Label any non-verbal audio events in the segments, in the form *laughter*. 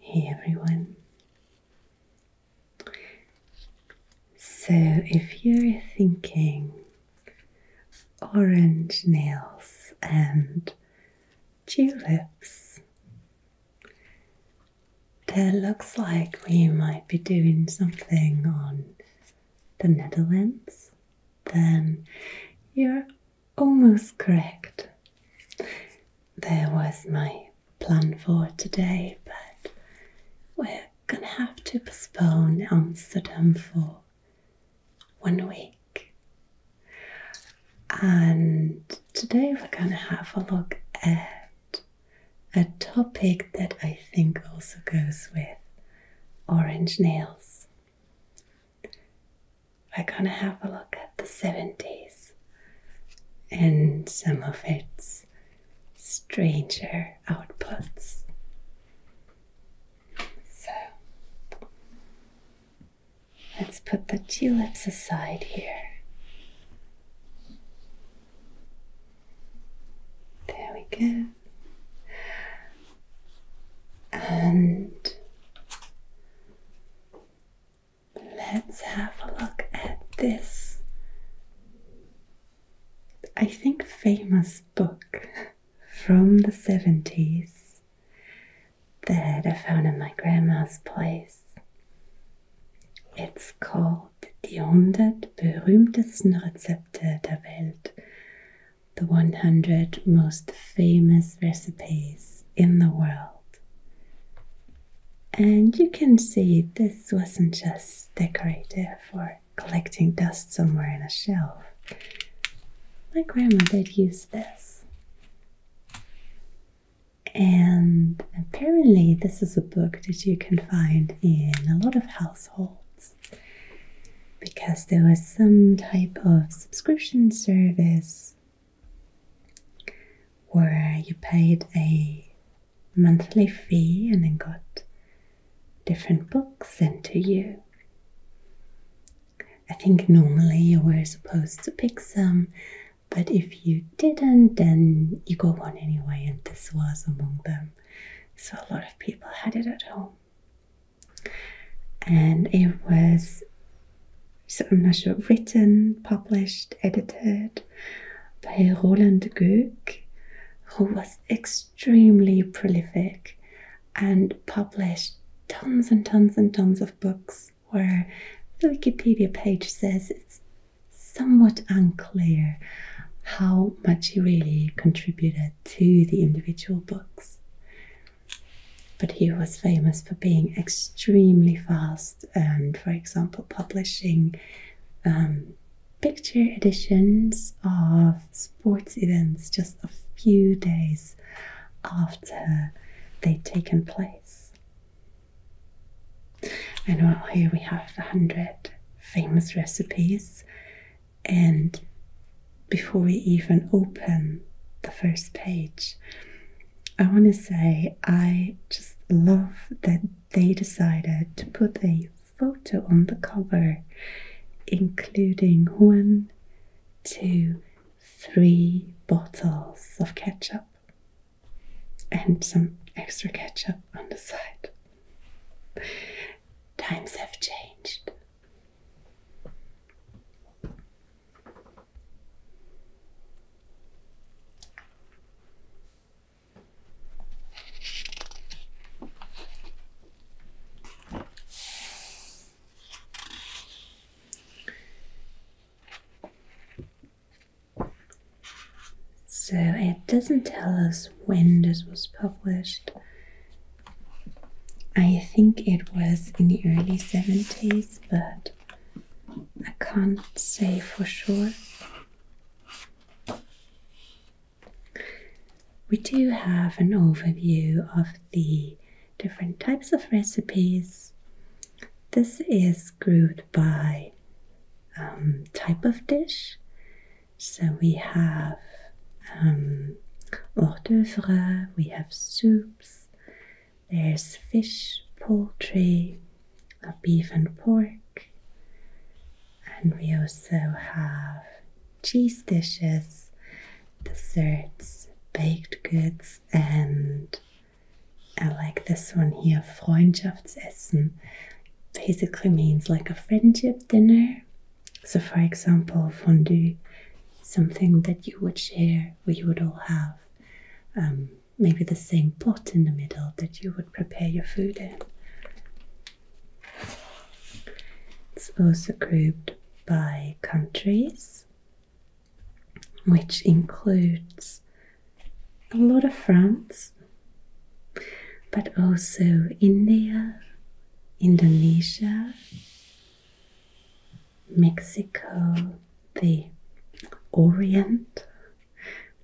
Hey everyone! So, if you're thinking orange nails and tulips, that looks like we might be doing something on the Netherlands, then you're almost correct. There was my plan for today, but we're gonna have to postpone Amsterdam for one week. And today we're gonna have a look at a topic that I think also goes with orange nails. I'm gonna have a look at the 70s and some of its stranger outputs. So let's put the tulips aside here. There we go and let's have a look at this. I think famous book from the 70s that I found in my grandma's place. It's called Die hundert berühmtesten Rezepte der Welt the 100 most famous recipes in the world. And you can see this wasn't just decorative or collecting dust somewhere in a shelf. My grandma did use this. And apparently, this is a book that you can find in a lot of households because there was some type of subscription service where you paid a monthly fee and then got different books sent to you. I think normally you were supposed to pick some, but if you didn't, then you got one anyway, and this was among them. So a lot of people had it at home and it was I'm not sure written, published, edited by Roland Goek, who was extremely prolific and published tons and tons and tons of books where the Wikipedia page says it's somewhat unclear how much he really contributed to the individual books. But he was famous for being extremely fast and, for example, publishing um, picture editions of sports events just a few days after they'd taken place. And well, here we have the hundred famous recipes and before we even open the first page, I want to say I just love that they decided to put a photo on the cover, including one, two, three bottles of ketchup and some extra ketchup on the side. Times have changed. So it doesn't tell us when this was published, I think it was in the early 70s, but I can't say for sure. We do have an overview of the different types of recipes. This is grouped by um, type of dish. So we have um, hors d'oeuvre, we have soups, there's fish, poultry, beef and pork, and we also have cheese dishes, desserts, baked goods, and I like this one here, Freundschaftsessen. Basically means like a friendship dinner so, for example, fondue, something that you would share, we would all have um, maybe the same pot in the middle that you would prepare your food in. It's also grouped by countries, which includes a lot of France, but also India, Indonesia, Mexico, the Orient,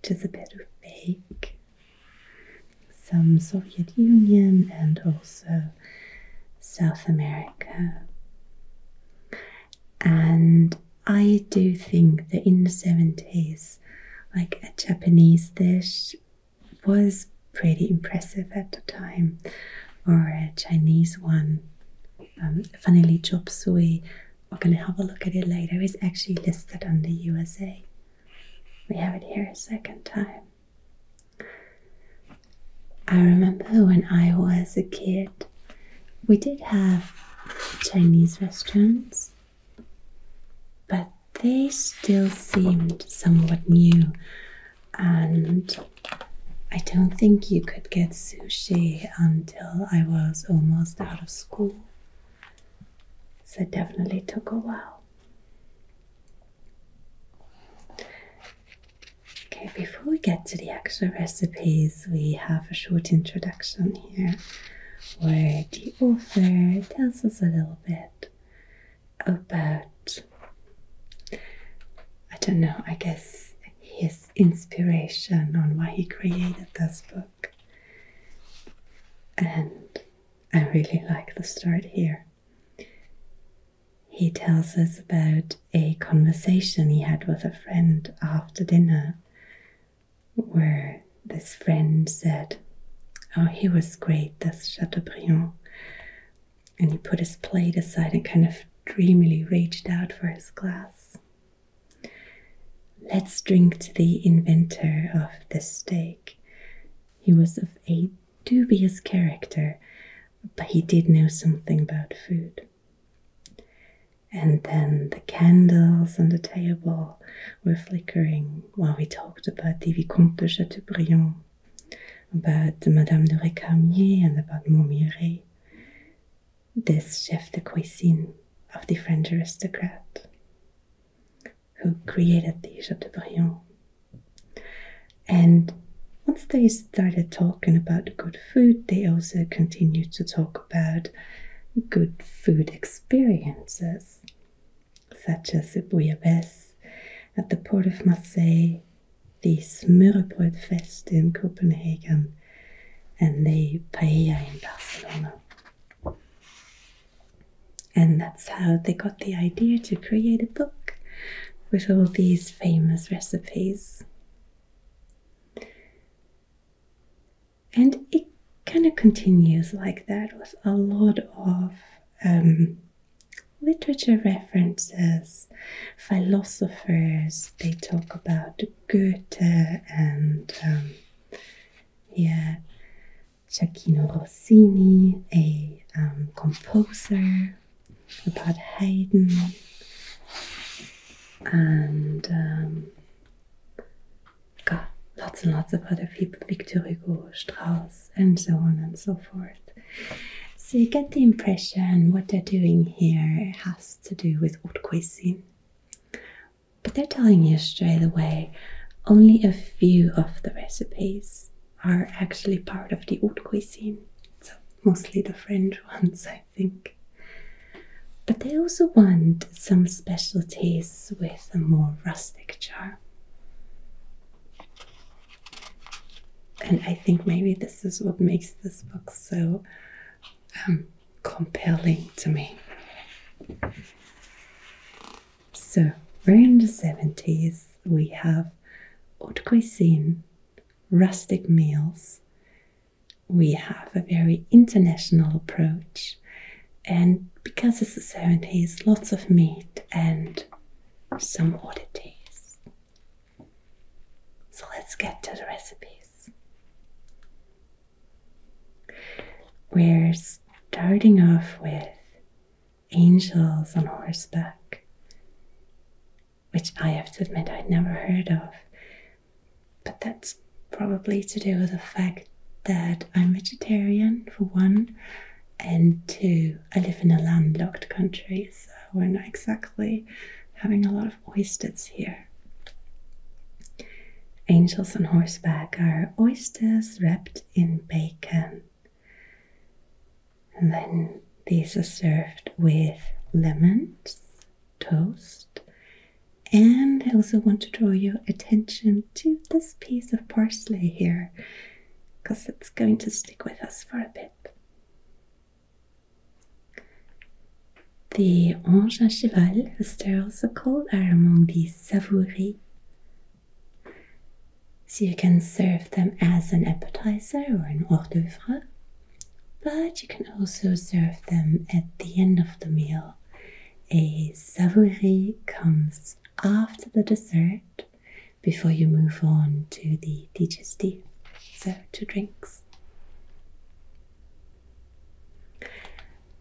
which is a bit of fake, some Soviet Union, and also South America. And I do think that in the 70s, like a Japanese dish was pretty impressive at the time, or a Chinese one. Um, chop suey, we're going to have a look at it later, is actually listed under USA. We have it here a second time. I remember when I was a kid, we did have Chinese restaurants, but they still seemed somewhat new and I don't think you could get sushi until I was almost out of school. So it definitely took a while. Okay, before we get to the actual recipes, we have a short introduction here where the author tells us a little bit about I don't know, I guess his inspiration on why he created this book. And I really like the start here. He tells us about a conversation he had with a friend after dinner, where this friend said, Oh, he was great, this Chateaubriand and he put his plate aside and kind of dreamily reached out for his glass. Let's drink to the inventor of the steak. He was of a dubious character, but he did know something about food. And then the candles on the table were flickering while we talked about the Vicomte de Chateaubriand about Madame de Récamier and about Montmirail. This chef de cuisine of the French aristocrat who created the Chateaubriand. And once they started talking about good food, they also continued to talk about good food experiences, such as the bouillabaisse at the port of Marseille the smører fest in Copenhagen and the paella in Barcelona. And that's how they got the idea to create a book with all these famous recipes. And it kind of continues like that with a lot of um, literature references. Philosophers, they talk about Goethe and, um, yeah, Giacchino Rossini, a um, composer, about Haydn, and um, lots and lots of other people, Victor Hugo, Strauss, and so on and so forth. So you get the impression what they're doing here has to do with haute cuisine. But they're telling you straight away only a few of the recipes are actually part of the haute cuisine. So mostly the French *laughs* ones, I think. But they also want some specialties with a more rustic charm. And I think maybe this is what makes this book so um, compelling to me. So we in the 70s, we have haute cuisine, rustic meals, we have a very international approach, and because it's the 70s, lots of meat and some oddities. So let's get to the recipes. We're starting off with angels on horseback, which I have to admit I'd never heard of, but that's probably to do with the fact that I'm vegetarian for one, and two, I live in a landlocked country, so we're not exactly having a lot of oysters here. Angels on horseback are oysters wrapped in bacon. And then these are served with lemons, toast, and I also want to draw your attention to this piece of parsley here because it's going to stick with us for a bit. The anges à cheval, as they're also called, are among the savouries. So you can serve them as an appetizer or an hors d'oeuvre, but you can also serve them at the end of the meal. A savoury comes after the dessert before you move on to the teacher's So, two drinks.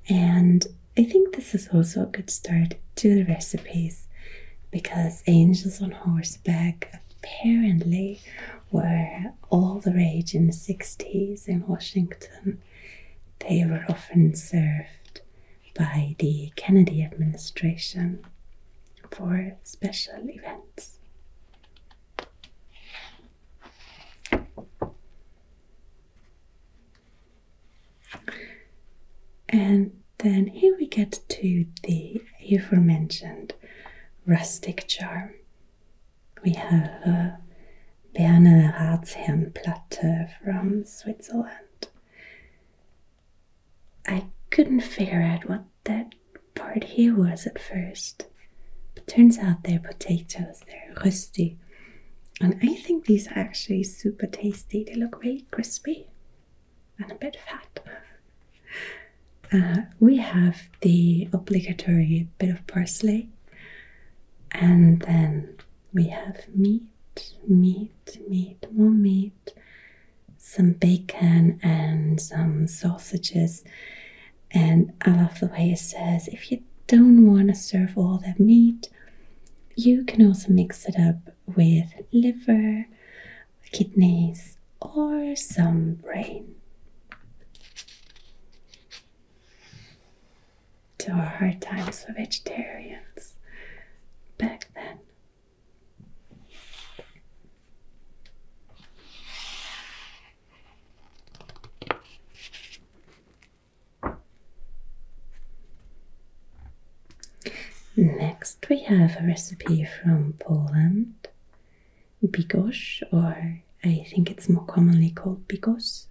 And I think this is also a good start to the recipes because angels on horseback apparently were all the rage in the 60s in Washington. They were often served by the Kennedy administration for special events. And then here we get to the aforementioned rustic charm. We have a Berner Ratsherrenplatte from Switzerland. I couldn't figure out what that part here was at first. But turns out they're potatoes, they're rusty. And I think these are actually super tasty. They look really crispy and a bit fat. *laughs* Uh, we have the obligatory bit of parsley, and then we have meat, meat, meat, more meat, some bacon and some sausages. And I love the way it says if you don't want to serve all that meat, you can also mix it up with liver, kidneys, or some brain. There were hard times for vegetarians back then. Next, we have a recipe from Poland, bigos, or I think it's more commonly called bigos,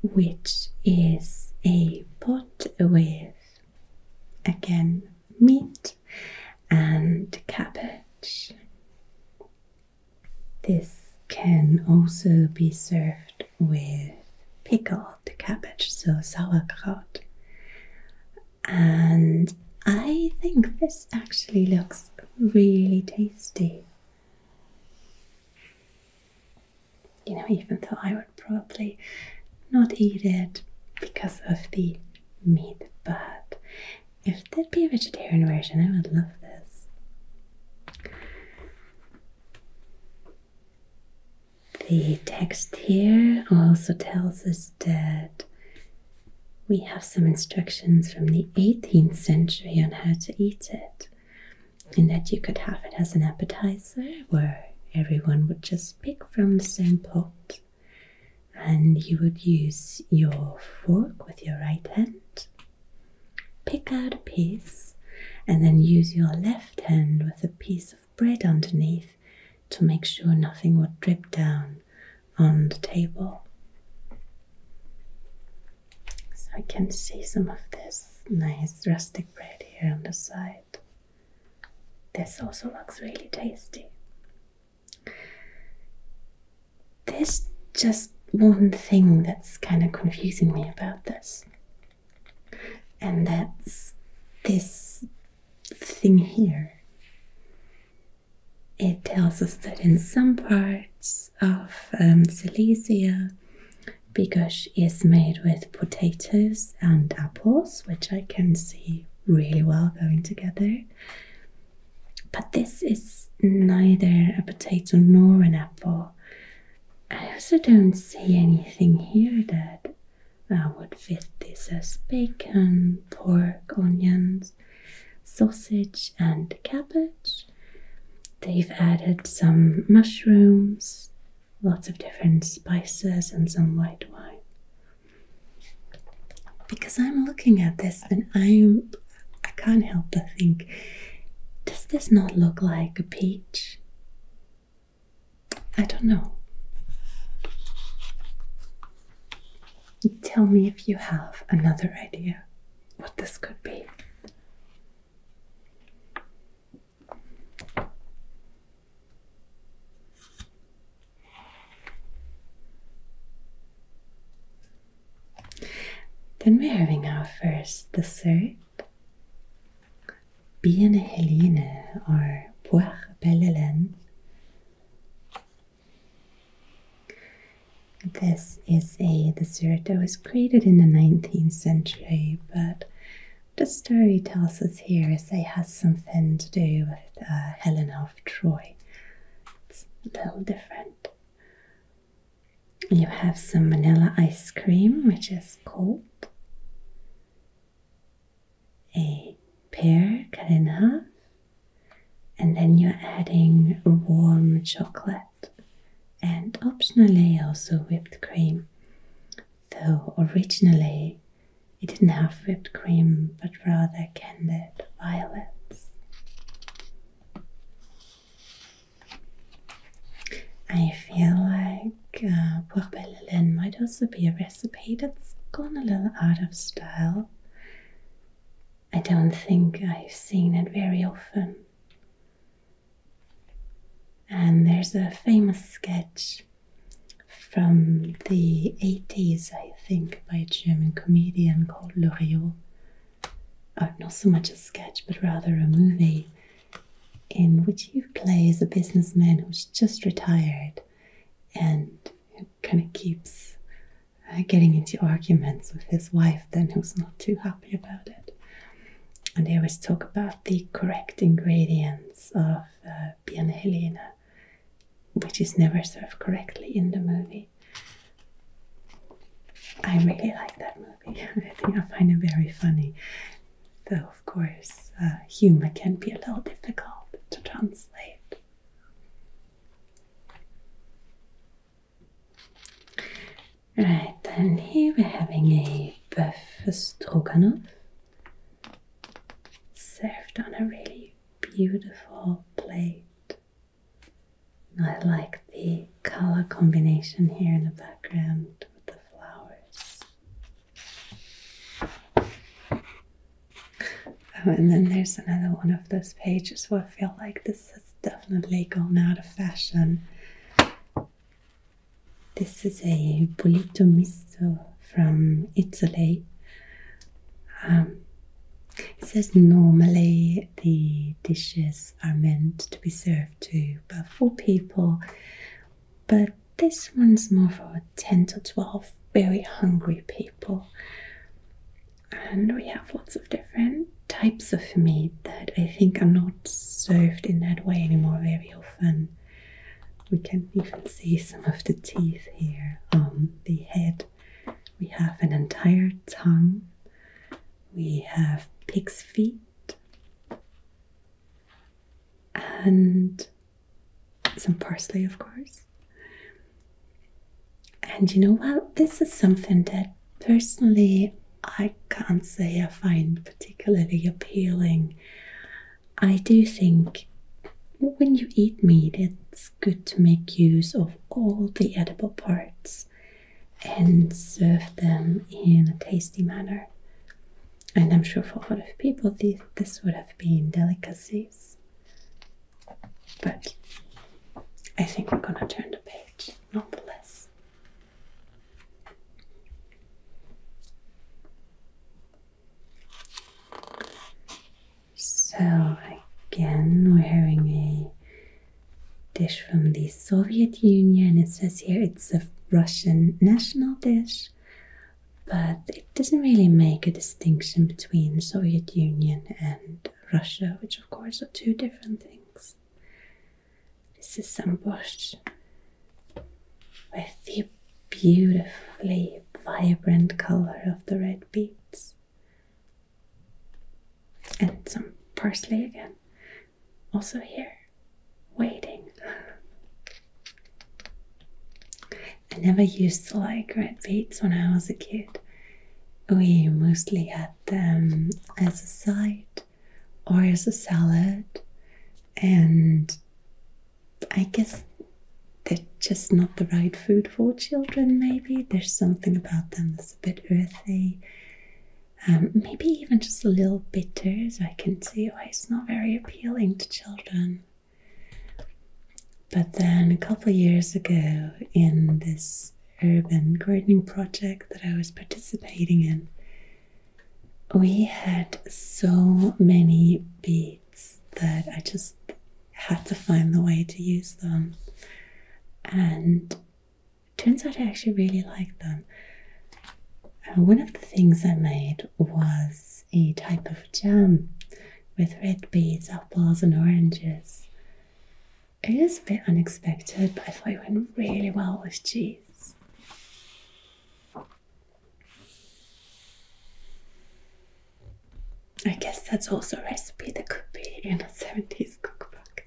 which is a pot with Again, meat and cabbage. This can also be served with pickled cabbage, so sauerkraut. And I think this actually looks really tasty you know, even though I would probably not eat it because of the meat, but if there'd be a vegetarian version, I would love this. The text here also tells us that we have some instructions from the 18th century on how to eat it, and that you could have it as an appetizer where everyone would just pick from the same pot and you would use your fork with your right hand pick out a piece and then use your left hand with a piece of bread underneath to make sure nothing would drip down on the table so i can see some of this nice rustic bread here on the side this also looks really tasty. There's just one thing that's kind of confusing me about this, and that's this thing here. It tells us that in some parts of um, Silesia, because is made with potatoes and apples, which I can see really well going together. But this is neither a potato nor an apple. I also don't see anything here that uh, would fit this as bacon, pork, onions, sausage, and cabbage. They've added some mushrooms lots of different spices and some white wine. Because I'm looking at this and I'm I can't help but think, does this not look like a peach? I don't know. Tell me if you have another idea what this could be. Then we're having our first dessert. Biene Helene or Poire Belle This is a dessert that was created in the 19th century, but the story tells us here is it has something to do with uh, Helen of Troy. It's a little different. You have some vanilla ice cream, which is cold. A pear cut in half. And then you're adding warm chocolate and optionally also whipped cream. Though originally it didn't have whipped cream, but rather candied violets. I feel like uh, Bourbellin might also be a recipe that's gone a little out of style. I don't think I've seen it very often. And there's a famous sketch from the 80s, I think, by a German comedian called Loriot. Or uh, not so much a sketch, but rather a movie in which he plays a businessman who's just retired and kind of keeps uh, getting into arguments with his wife, then who's not too happy about it. And they always talk about the correct ingredients of uh, Helena, which is never served correctly in the movie. I really like that movie. *laughs* I think I find it very funny. Though, of course, uh, humor can be a little difficult to translate. Right, and here we're having a bœuf stroganoff served on a really beautiful plate. I like the color combination here in the background with the flowers. Oh, and then there's another one of those pages where I feel like this has definitely gone out of fashion. This is a bollito misto from Italy. Um, it says normally the dishes are meant to be served to about four people, but this one's more for 10 to 12 very hungry people. And we have lots of different types of meat that I think are not served in that way anymore very often. We can even see some of the teeth here on the head. We have an entire tongue. We have pig's feet and some parsley, of course. And you know what? this is something that personally I can't say I find particularly appealing. I do think when you eat meat, it's good to make use of all the edible parts and serve them in a tasty manner. And I'm sure for a lot of people, this, this would have been delicacies. But I think we're gonna turn the page nonetheless. So again, we're having a dish from the Soviet Union. It says here it's a Russian national dish, but it doesn't really make a distinction between Soviet Union and Russia, which of course are two different things. This is some bush with the beautifully vibrant color of the red beets. And some parsley again. Also here, waiting. I never used to like red beets when I was a kid. We mostly had them as a side or as a salad. And I guess they're just not the right food for children, maybe. There's something about them that's a bit earthy. Um, maybe even just a little bitter, so I can see why it's not very appealing to children. But then a couple years ago, in this urban gardening project that I was participating in, we had so many beads that I just had to find the way to use them. And turns out I actually really like them. one of the things I made was a type of jam with red beads, apples, and oranges. It is a bit unexpected, but I thought it went really well with cheese. I guess that's also a recipe that could be in a 70s cookbook.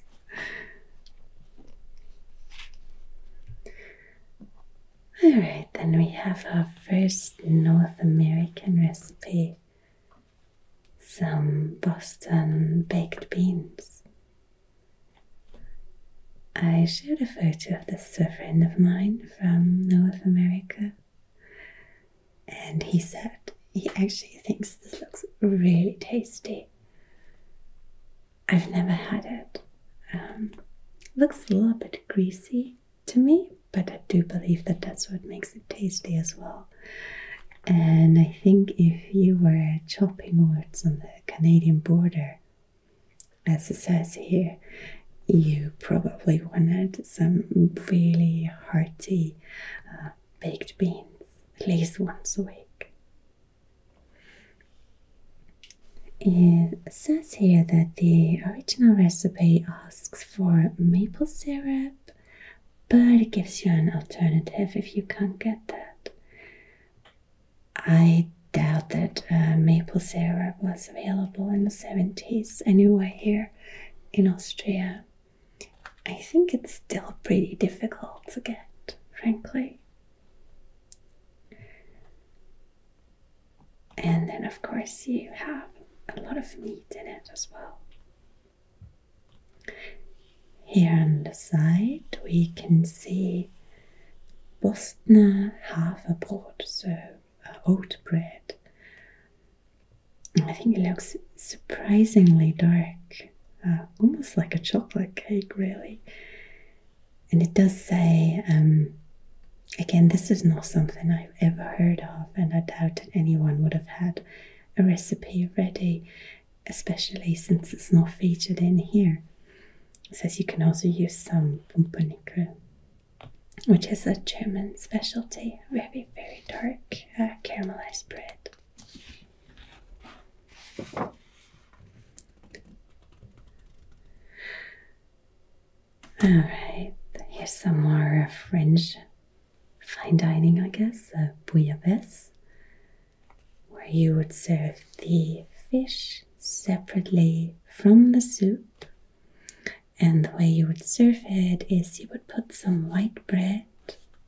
Alright, then we have our first North American recipe some Boston baked beans. I showed a photo of this friend of mine from North America, and he said he actually thinks this looks really tasty. I've never had um, it. looks a little bit greasy to me, but I do believe that that's what makes it tasty as well. And I think if you were chopping woods on the Canadian border, as it says here, you probably wanted some really hearty uh, baked beans at least once a week. It says here that the original recipe asks for maple syrup, but it gives you an alternative if you can't get that. I doubt that uh, maple syrup was available in the 70s anywhere here in Austria. I think it's still pretty difficult to get, frankly. And then, of course, you have a lot of meat in it as well. Here on the side, we can see Bostner half brought so oat bread. I think it looks surprisingly dark, uh, almost like a chocolate cake, really. And it does say, um, again, this is not something I've ever heard of, and I doubt that anyone would have had a recipe ready, especially since it's not featured in here. It says you can also use some pumpernickel, which is a German specialty, very, very dark uh, caramelized bread. Alright, here's some more uh, French fine dining, I guess, a uh, bouillabaisse, where you would serve the fish separately from the soup. And the way you would serve it is you would put some white bread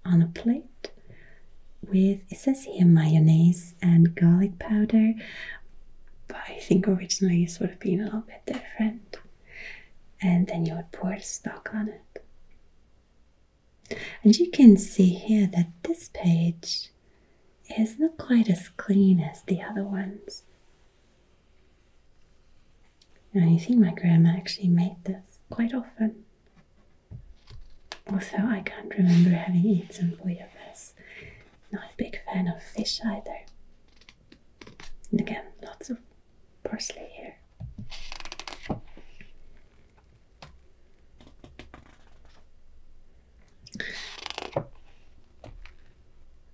on a plate with, it says here, mayonnaise and garlic powder. But I think originally it would have been a little bit different. And then you would pour stock on it. And you can see here that this page is not quite as clean as the other ones. Now you see my grandma actually made this quite often. Also, I can't remember having eaten of bouillabaisse. Not a big fan of fish either. And again, lots of parsley here.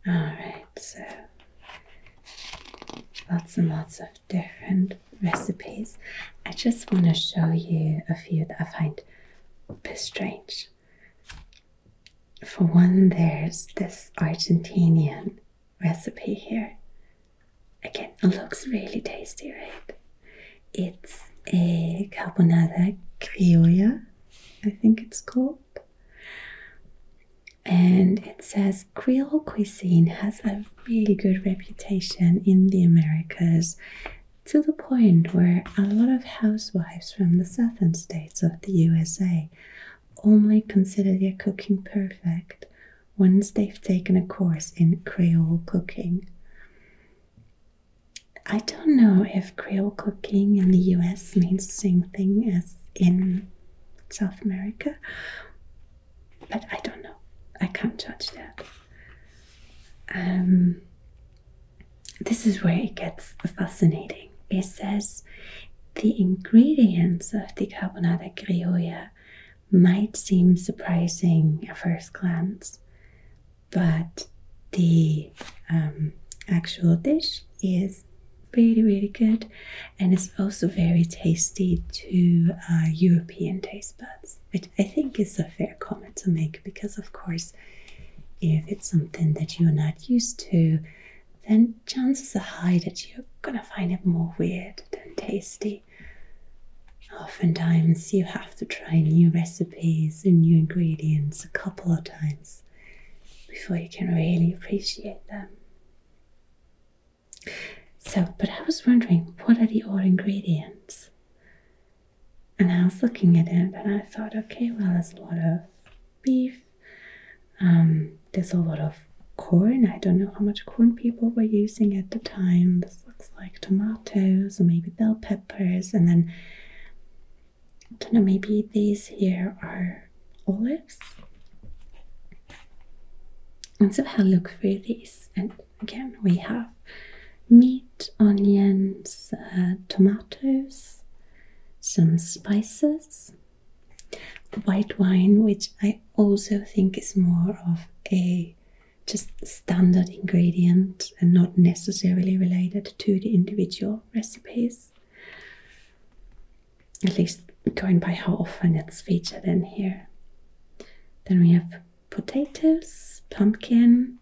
All right, so lots and lots of different recipes. I just want to show you a few that I find a bit strange. For one, there's this Argentinian recipe here. Again, it looks really tasty, right? It's a carbonara criolla, I think it's called. And it says Creole cuisine has a really good reputation in the Americas to the point where a lot of housewives from the southern states of the USA only consider their cooking perfect once they've taken a course in Creole cooking. I don't know if Creole cooking in the US means the same thing as in South America, but I don't know. I can't judge that. Um, this is where it gets fascinating. It says the ingredients of the carbonara criolla might seem surprising at first glance, but the um, actual dish is really really good and it's also very tasty to uh, european taste buds which i think is a fair comment to make because of course if it's something that you're not used to then chances are high that you're gonna find it more weird than tasty oftentimes you have to try new recipes and new ingredients a couple of times before you can really appreciate them. So, but I was wondering what are the odd ingredients? And I was looking at it and I thought, okay, well, there's a lot of beef, um, there's a lot of corn. I don't know how much corn people were using at the times looks like tomatoes or maybe bell peppers and then I don't know maybe these here are olives and so I'll look through these and again we have meat, onions, uh, tomatoes, some spices white wine which I also think is more of a just standard ingredient and not necessarily related to the individual recipes. At least going by how often it's featured in here. Then we have potatoes, pumpkin,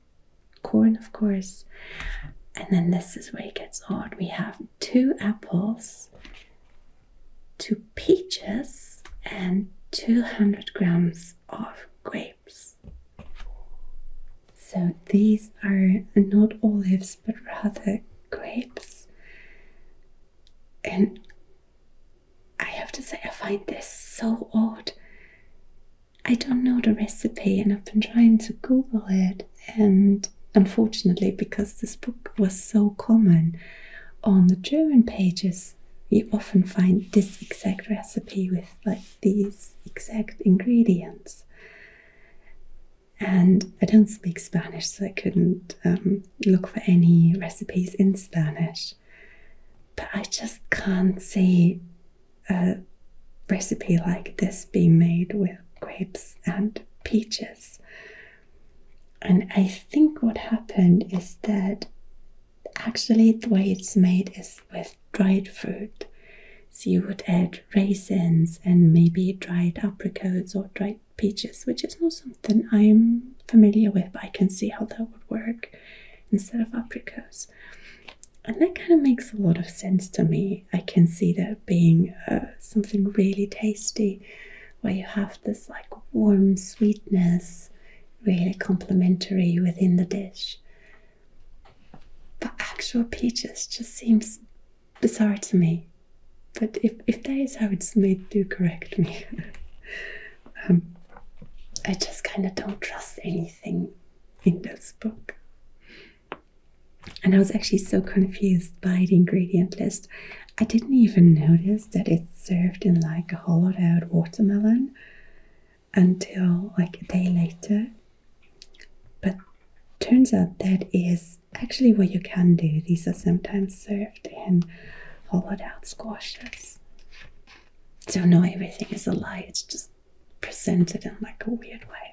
corn, of course. And then this is where it gets odd. We have two apples, two peaches, and 200 grams of grapes. So these are not olives but rather grapes. And I have to say, I find this so odd. I don't know the recipe, and I've been trying to Google it. And unfortunately, because this book was so common on the German pages, you often find this exact recipe with like these exact ingredients. And I don't speak Spanish, so I couldn't um, look for any recipes in Spanish. But I just can't see a recipe like this being made with grapes and peaches. And I think what happened is that actually the way it's made is with dried fruit. So you would add raisins and maybe dried apricots or dried peaches, which is not something I'm familiar with, but I can see how that would work instead of apricots. And that kind of makes a lot of sense to me. I can see that being uh, something really tasty where you have this like warm sweetness really complementary within the dish. But actual peaches just seems bizarre to me. But if, if that is how it's made, do correct me. *laughs* Um, I just kind of don't trust anything in this book. And I was actually so confused by the ingredient list. I didn't even notice that it's served in like a hollowed out watermelon until like a day later. But turns out that is actually what you can do. These are sometimes served in hollowed out squashes. So no, everything is a lie. It's just presented in like a weird way.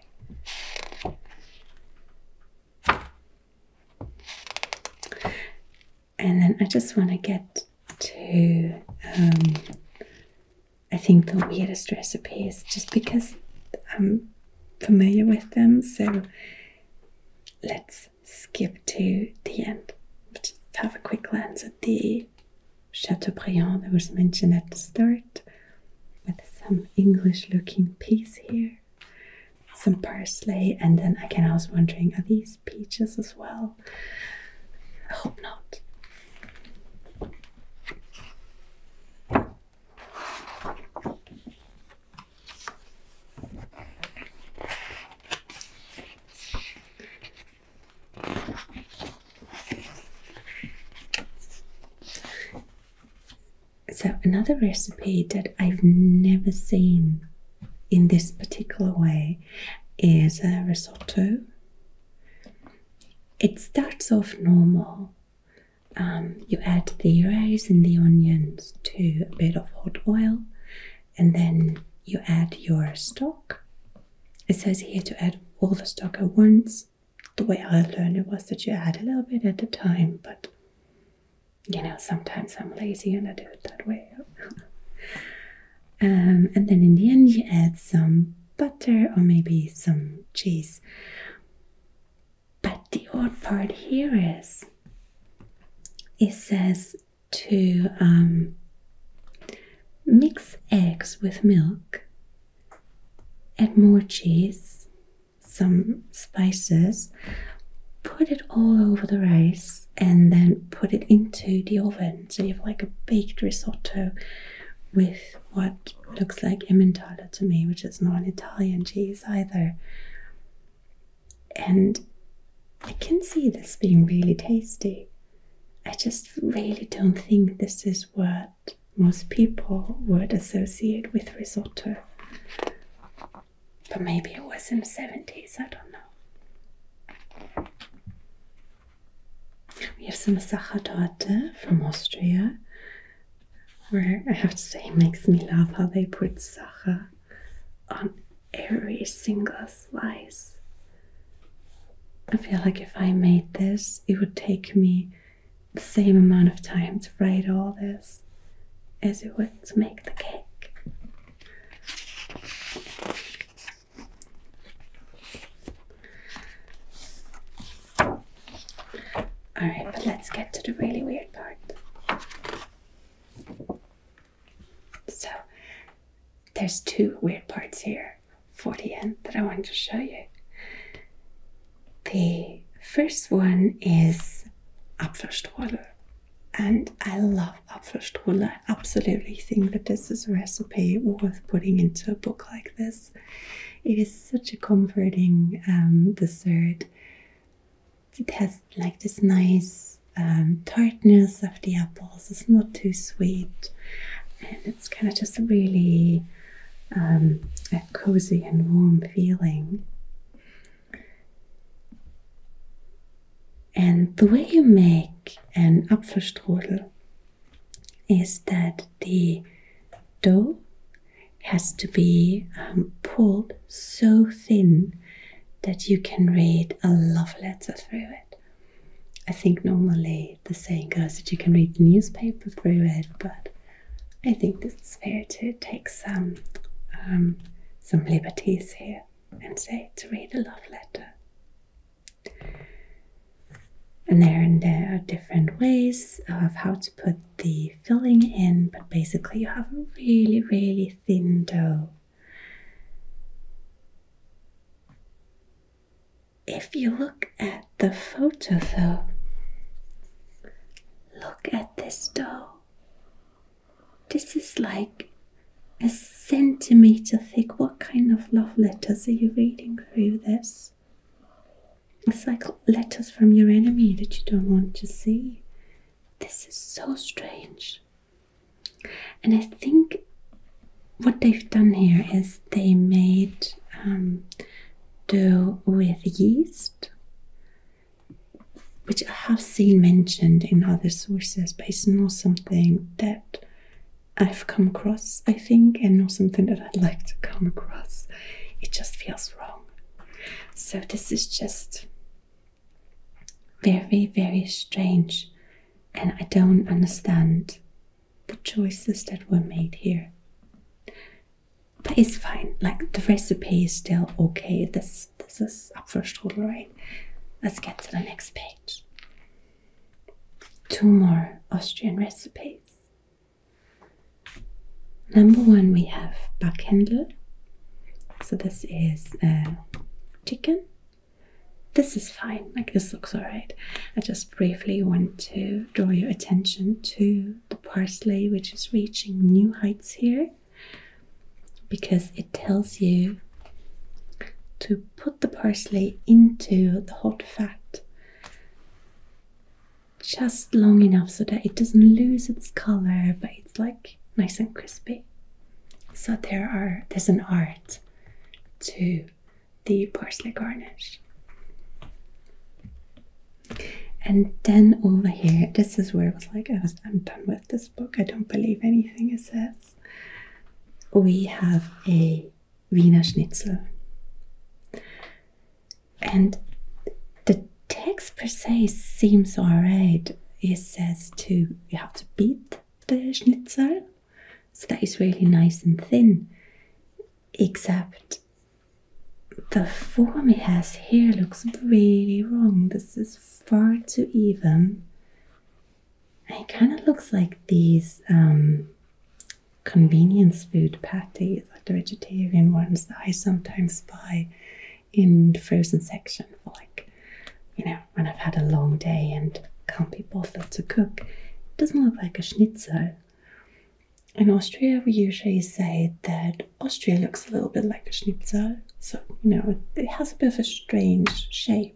And then I just want to get to um, I think the weirdest recipes just because I'm familiar with them. So let's skip to the end. Just have a quick glance at the Chateaubriand that was mentioned at the start with some English looking peas here, some parsley, and then again I was wondering are these peaches as well? I hope not. So, another recipe that I've never seen in this particular way is a uh, risotto it starts off normal. Um, you add the rice and the onions to a bit of hot oil, and then you add your stock. It says here to add all the stock at once. The way I learned it was that you add a little bit at a time, but you know, sometimes I'm lazy and I do it that way. *laughs* Um, and then in the end you add some butter or maybe some cheese. But the odd part here is it says to um, mix eggs with milk, add more cheese, some spices, put it all over the rice, and then put it into the oven. So you have like a baked risotto with what looks like Emmentaler to me, which is not an Italian cheese either. And I can see this being really tasty. I just really don't think this is what most people would associate with risotto. But maybe it was in the 70s, I don't know. We have some Sachertorte from Austria, where I have to say it makes me laugh how they put Sacher on every single slice. I feel like if I made this, it would take me the same amount of time to write all this as it would to make the cake. Alright, but let's get to the really weird part. So, there's two weird parts here for the end that I wanted to show you. The first one is Apfelstrudel, and I love Apfelstrudel absolutely think that this is a recipe worth putting into a book like this. It is such a comforting um, dessert. It has like this nice um, tartness of the apples, it's not too sweet, and it's kind of just really um, a cozy and warm feeling. And the way you make an Apfelstrudel is that the dough has to be um, pulled so thin that you can read a love letter through it. I think normally the saying goes that you can read the newspaper through it, but I think this is fair to take some um, some liberties here and say to read a love letter. And there, and there are different ways of how to put the filling in, but basically, you have a really, really thin dough. If you look at the photo, though, look at this dough. This is like a centimeter thick. What kind of love letters are you reading through this? It's like letters from your enemy that you don't want to see. This is so strange. And I think what they've done here is they made um, dough with yeast, which I have seen mentioned in other sources, but it's something that I've come across, I think, and know something that I'd like to come across. It just feels wrong. So, this is just very, very strange, and I don't understand the choices that were made here. But it's fine, like the recipe is still okay. This, this is up for strudel, right? Let's get to the next page two more Austrian recipes. Number one, we have Backhändel. So this is uh, chicken. This is fine, like this looks alright. I just briefly want to draw your attention to the parsley, which is reaching new heights here because it tells you to put the parsley into the hot fat just long enough so that it doesn't lose its color but it's like nice and crispy so there are there's an art to the parsley garnish and then over here this is where it was like I was, i'm done with this book i don't believe anything it says we have a Wiener Schnitzel. And the text per se seems alright. It says to you have to beat the schnitzel. So that is really nice and thin. Except the form it has here looks really wrong. This is far too even. It kind of looks like these um, convenience food patties, like the vegetarian ones that I sometimes buy in the frozen section for like, you know, when I've had a long day and can't be bothered to cook. It doesn't look like a schnitzel. In Austria, we usually say that Austria looks a little bit like a schnitzel. So, you know, it has a bit of a strange shape.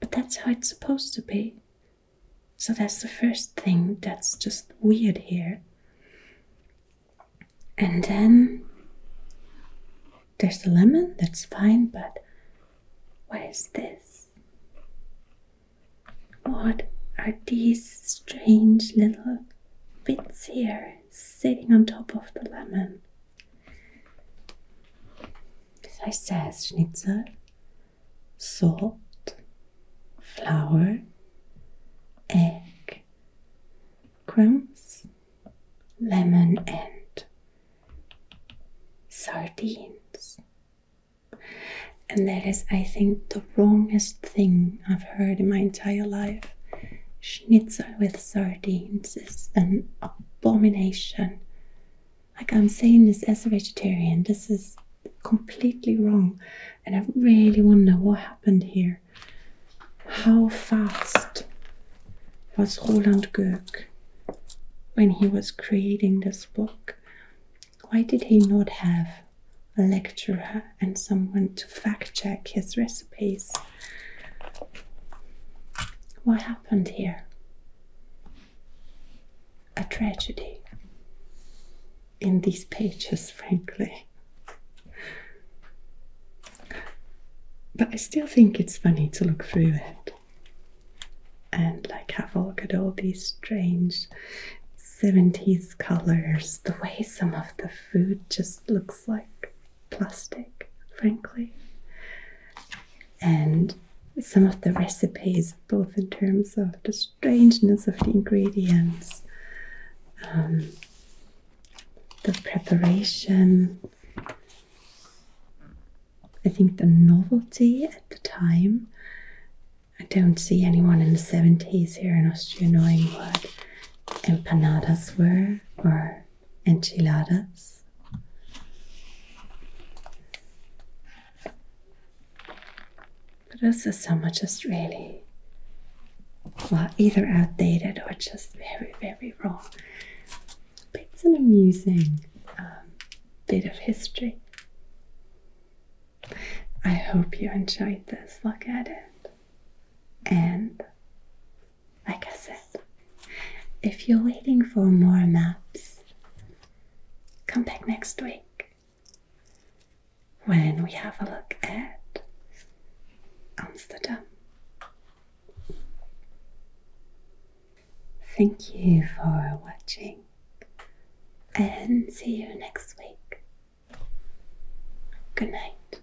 But that's how it's supposed to be. So that's the first thing that's just weird here. And then there's the lemon, that's fine, but what is this? What are these strange little bits here sitting on top of the lemon? schnitzel? salt, flour, egg, crumbs, lemon, and sardines. And that is, I think, the wrongest thing I've heard in my entire life. Schnitzel with sardines is an abomination like I'm saying this as a vegetarian, this is completely wrong, and I really wonder what happened here. How fast was Roland Goethe when he was creating this book? Why did he not have a lecturer and someone to fact check his recipes? What happened here? a tragedy in these pages, frankly. But I still think it's funny to look through it and like have a look at all these strange 70s colors, the way some of the food just looks like plastic, frankly and some of the recipes, both in terms of the strangeness of the ingredients, um, the preparation, I think the novelty at the time. I don't see anyone in the 70s here in Austria knowing what empanadas were or enchiladas. But also some are just really well either outdated or just very very wrong. But it's an amusing um, bit of history. I hope you enjoyed this look at it and like I said, if you're waiting for more maps, come back next week when we have a look at Amsterdam. Thank you for watching and see you next week. Good night.